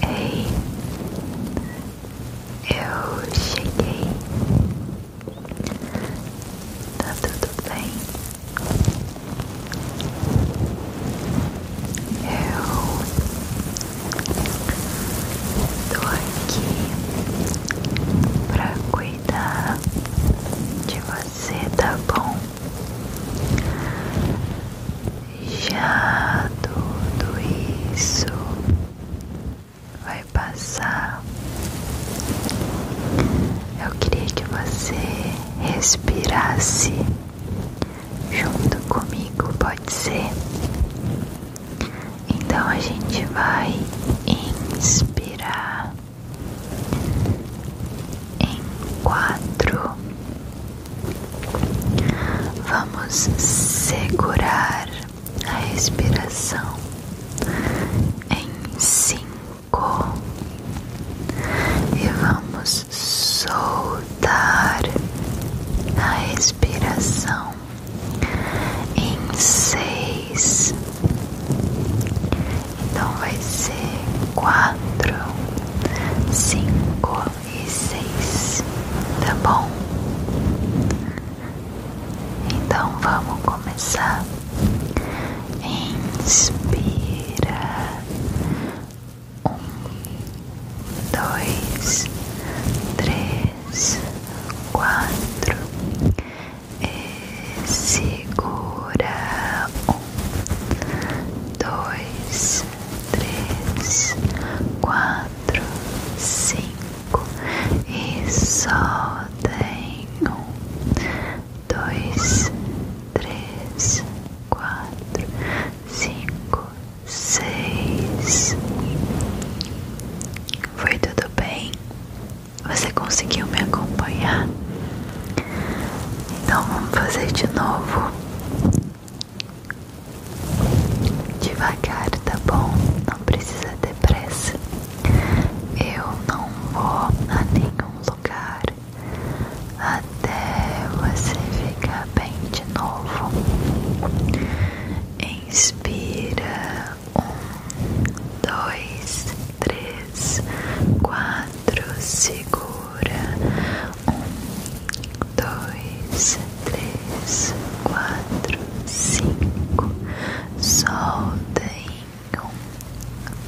Ei, eu cheguei. Tá tudo bem? Eu tô aqui pra cuidar de você, tá bom? Já tudo isso vai passar. Eu queria que você respirasse junto comigo, pode ser? Então a gente vai inspirar em quatro, Vamos segurar a respiração em cinco e vamos soltar a respiração em seis. Então vai ser quatro, cinco e seis, tá bom? Então vamos começar. Inspira um, dois, três, quatro, e segura um dois, três, quatro, cinco e só um, dois, três, quatro, cinco, seis. Foi tudo bem? Você conseguiu me acompanhar? Então vamos fazer de novo. Devagar, tá bom? Não precisa ter pressa. Eu não vou a nenhum lugar até você ficar bem de novo. Inspira um, dois, três, quatro, segura um, dois, três, quatro, cinco. Solta um,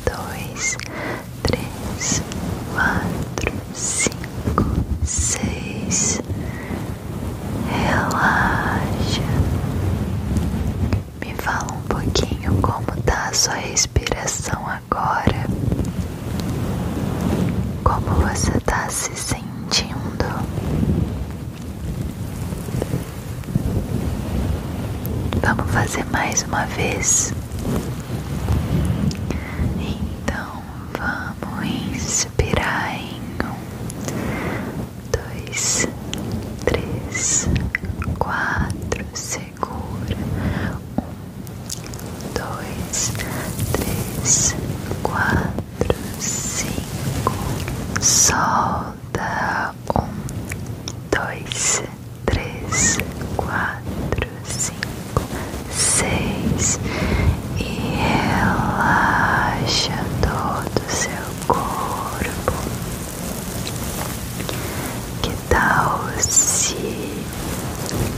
dois, três, quatro, cinco, seis. Relaxa. Me fala um pouquinho como tá a sua respiração agora, como você está se sentindo. Vamos fazer mais uma vez. Então vamos inspirar em um, dois, três, quatro, segura. Um, dois, três, quatro, cinco. Solta. Um, dois, três, quatro, cinco, seis. E relaxa todo seu corpo tal se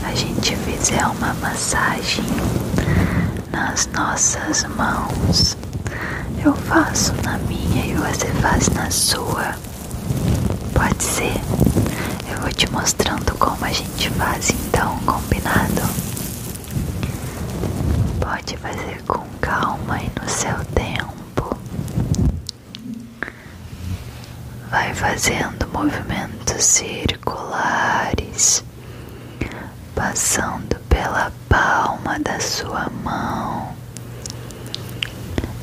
a gente fizer uma massagem nas nossas mãos? Eu faço na minha e você faz na sua. Pode ser? Eu vou te mostrando como a gente faz, então, combinado? Pode fazer com calma e no seu tempo. Vai fazendo movimentos circulares, passando pela palma da sua mão,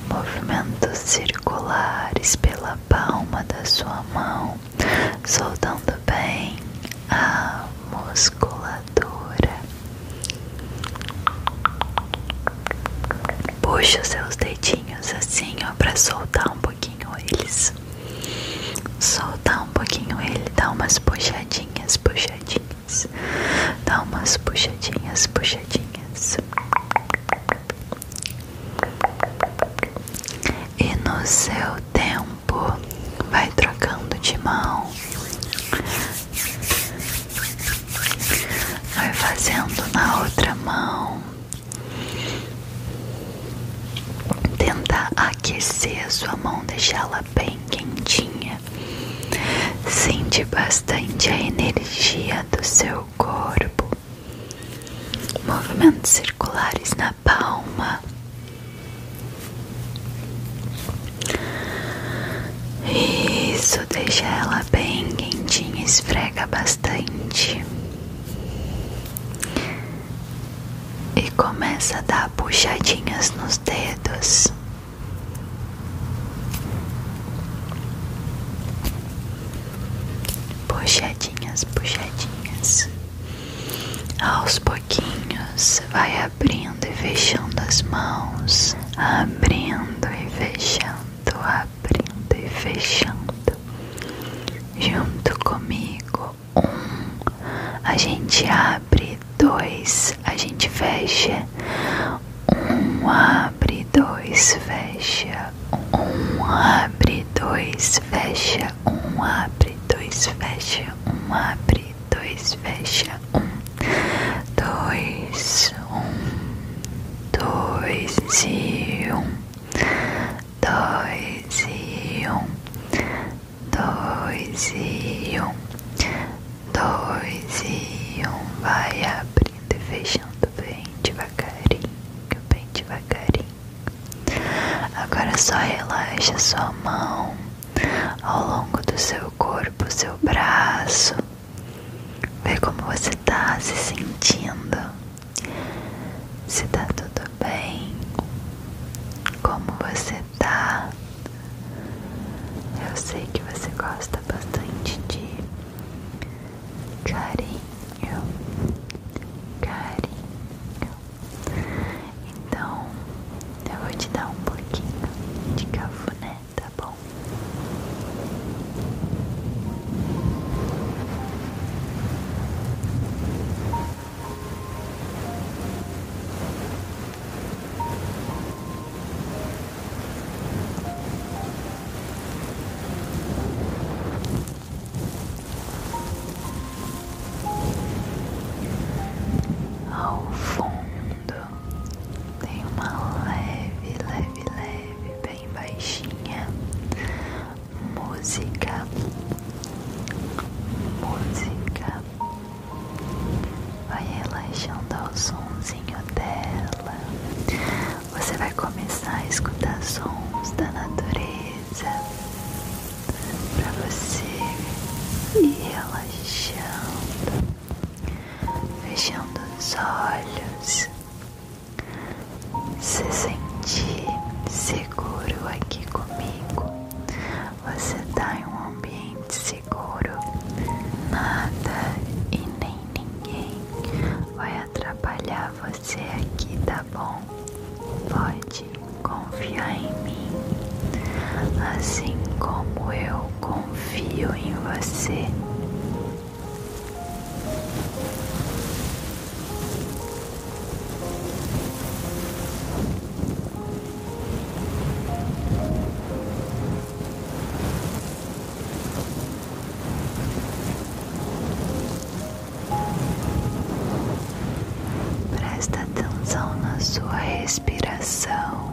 movimentos circulares pela palma da sua mão, soltando bem a musculatura puxa seus dedinhos assim, ó, pra soltar um pouquinho eles. Soltar um pouquinho ele, dá umas puxadinhas, puxadinhas. Dá umas puxadinhas, puxadinhas. E no seu tempo, vai trocando de mão. Vai fazendo na outra mão. Tenta aquecer a sua mão, deixá-la bem quentinha. Sente bastante a energia do seu corpo. Movimentos circulares na palma. Isso deixa ela bem quentinha, esfrega bastante e começa a dar puxadinhas nos dedos. Puxadinhas, puxadinhas. Aos pouquinhos, vai abrindo e fechando as mãos, abrindo e fechando abrindo e fechando junto comigo. Um, a gente abre, dois, a gente fecha. Um abre, dois, fecha. Um abre, dois, fecha. Um abre, dois, fecha. Um abre, dois, fecha. Um, dois, um, dois e um, dois e um, dois e um, dois e um, vai abrindo e fechando o devagarinho, bem devagarinho. Agora é só relaxa sua mão ao longo do seu corpo, seu braço. Ver como você tá se sentindo, se tá tudo bem, como você tá. Eu sei que você gosta bastante de carinho, carinho. Então eu vou te dar um pouquinho de cafuné tá bom? Ao fundo tem uma leve, leve, leve bem baixinha. Música, música. Vai relaxando ao somzinho dela. Você vai começar a escutar sons da natureza para você ir relaxando, fechando os olhos se sentir seguro aqui comigo. Você está em um ambiente seguro, nada e nem ninguém vai atrapalhar você aqui, tá bom? Pode confiar em mim, assim como eu confio em você. Presta atenção na sua respiração.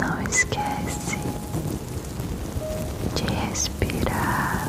Não esquece de respirar.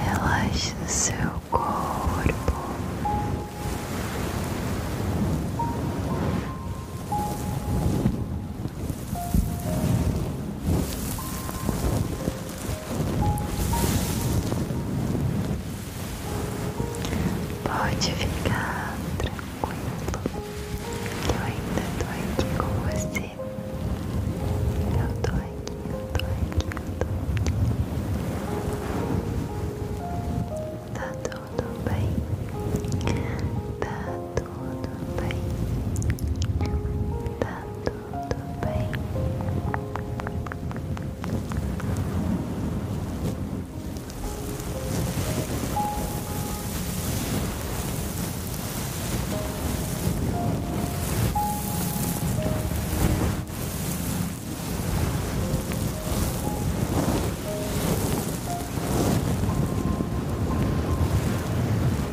Relaxe o seu corpo. Pode ficar tranquilo, eu ainda tô aqui com você. Eu tô aqui, eu tô aqui, eu tô aqui. Tá tudo bem, tá tudo bem, tá tudo tudo bem? Tudo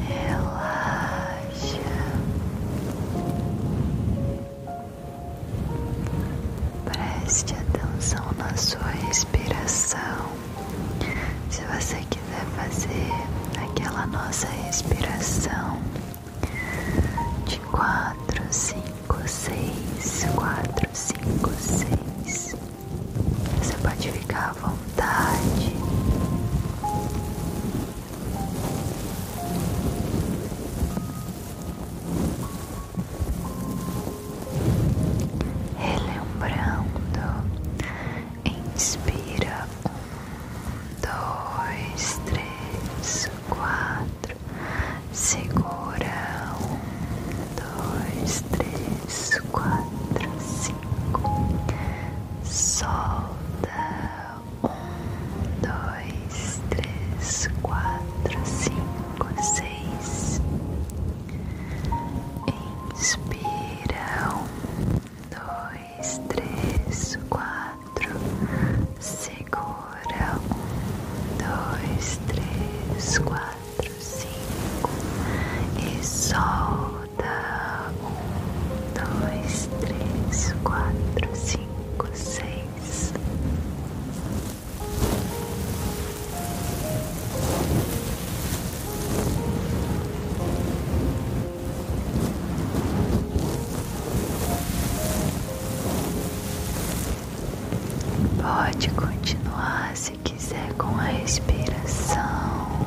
eu Relaxa baixa. Preste atenção na sua respiração. Se você quiser fazer aquela nossa respiração de quatro, cinco, seis, quatro, cinco, seis, você pode ficar à vontade. Relembrando, inspira um, dois, três, quatro, segura um, dois, três, quatro, cinco, solta. Um, dois, três, quatro, cinco, seis. Inspira. Um, dois, três, quatro. Segura. dois, três, quatro, cinco. E solta. Um, dois, três, quatro, cinco, seis. Pode continuar se quiser com a respiração.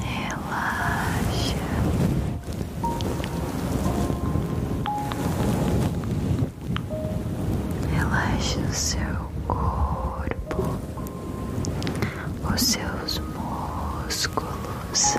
Relaxa. Relaxe o seu corpo, os seus músculos.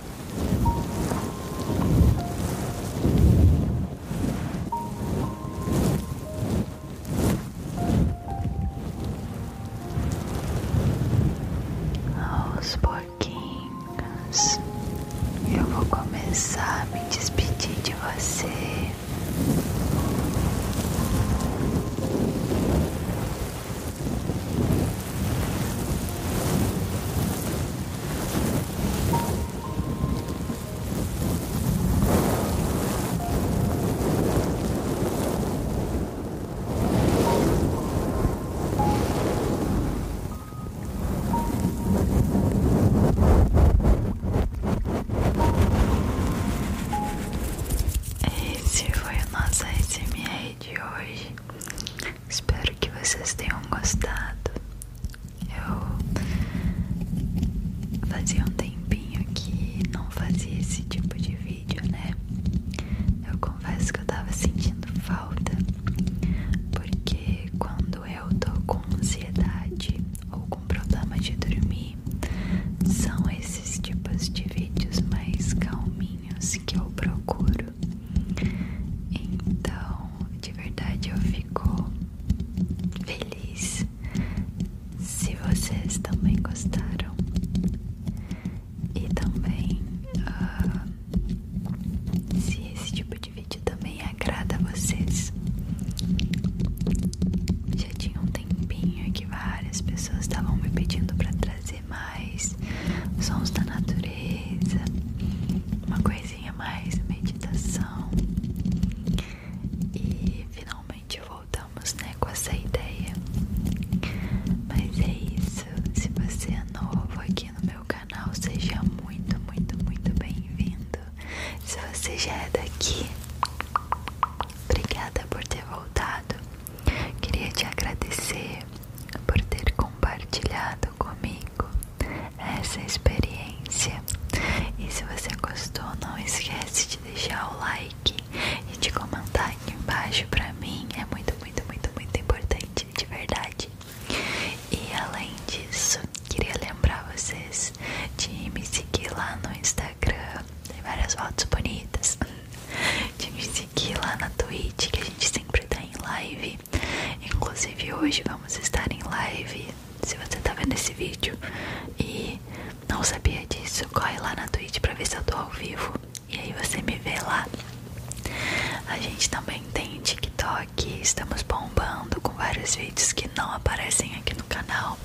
Aos pouquinhos, eu vou começar a me despedir de você. Esse foi o nosso SMR de hoje. Espero que vocês tenham gostado. Eu fazia um tempinho que não fazia esse tipo de vídeo, né? Eu confesso que eu tava sentindo falta, porque quando eu tô com ansiedade ou com problema de dormir, são esses tipos de vídeos mais calminhos que eu procuro então, de verdade, eu fico feliz se vocês também gostaram e também ah, se esse tipo de vídeo também agrada a vocês. Já tinha um tempinho que várias pessoas estavam me pedindo para trazer mais sons da natureza, uma coisinha mais meditação. E finalmente voltamos né, com essa ideia. Mas é isso. Se você é novo aqui no meu canal, seja muito, muito, muito bem-vindo. Se você já é daqui, obrigada por ter voltado. Queria te agradecer por ter compartilhado comigo essa experiência. E se você gostou, não esquece de deixar o like e de comentar aqui embaixo pra mim. É muito, muito, muito, muito importante, de verdade. E além disso, queria lembrar vocês de me seguir lá no Instagram. Tem várias fotos bonitas de me seguir lá na Twitch, que a gente sempre tá em live. Inclusive hoje vamos estar em live. Se você tá vendo esse vídeo e não sabia disso, corre lá na Twitch pra ver se eu tô ao vivo. E aí você me vê lá. A gente também tem TikTok, estamos bombando com vários vídeos que não aparecem aqui no canal.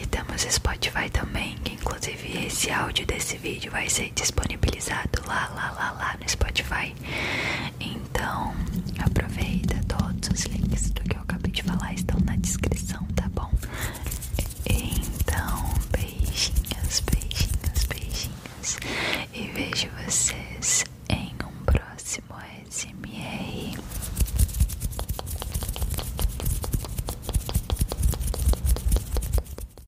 E temos Spotify também, que inclusive esse áudio desse esse vídeo vai ser disponibilizado lá, lá, lá, lá no Spotify. Então, aproveita todos os links do que eu acabei de falar estão na descrição, tá bom? Então, beijinhos, beijinhos, beijinhos. E vejo vocês em um próximo SMR.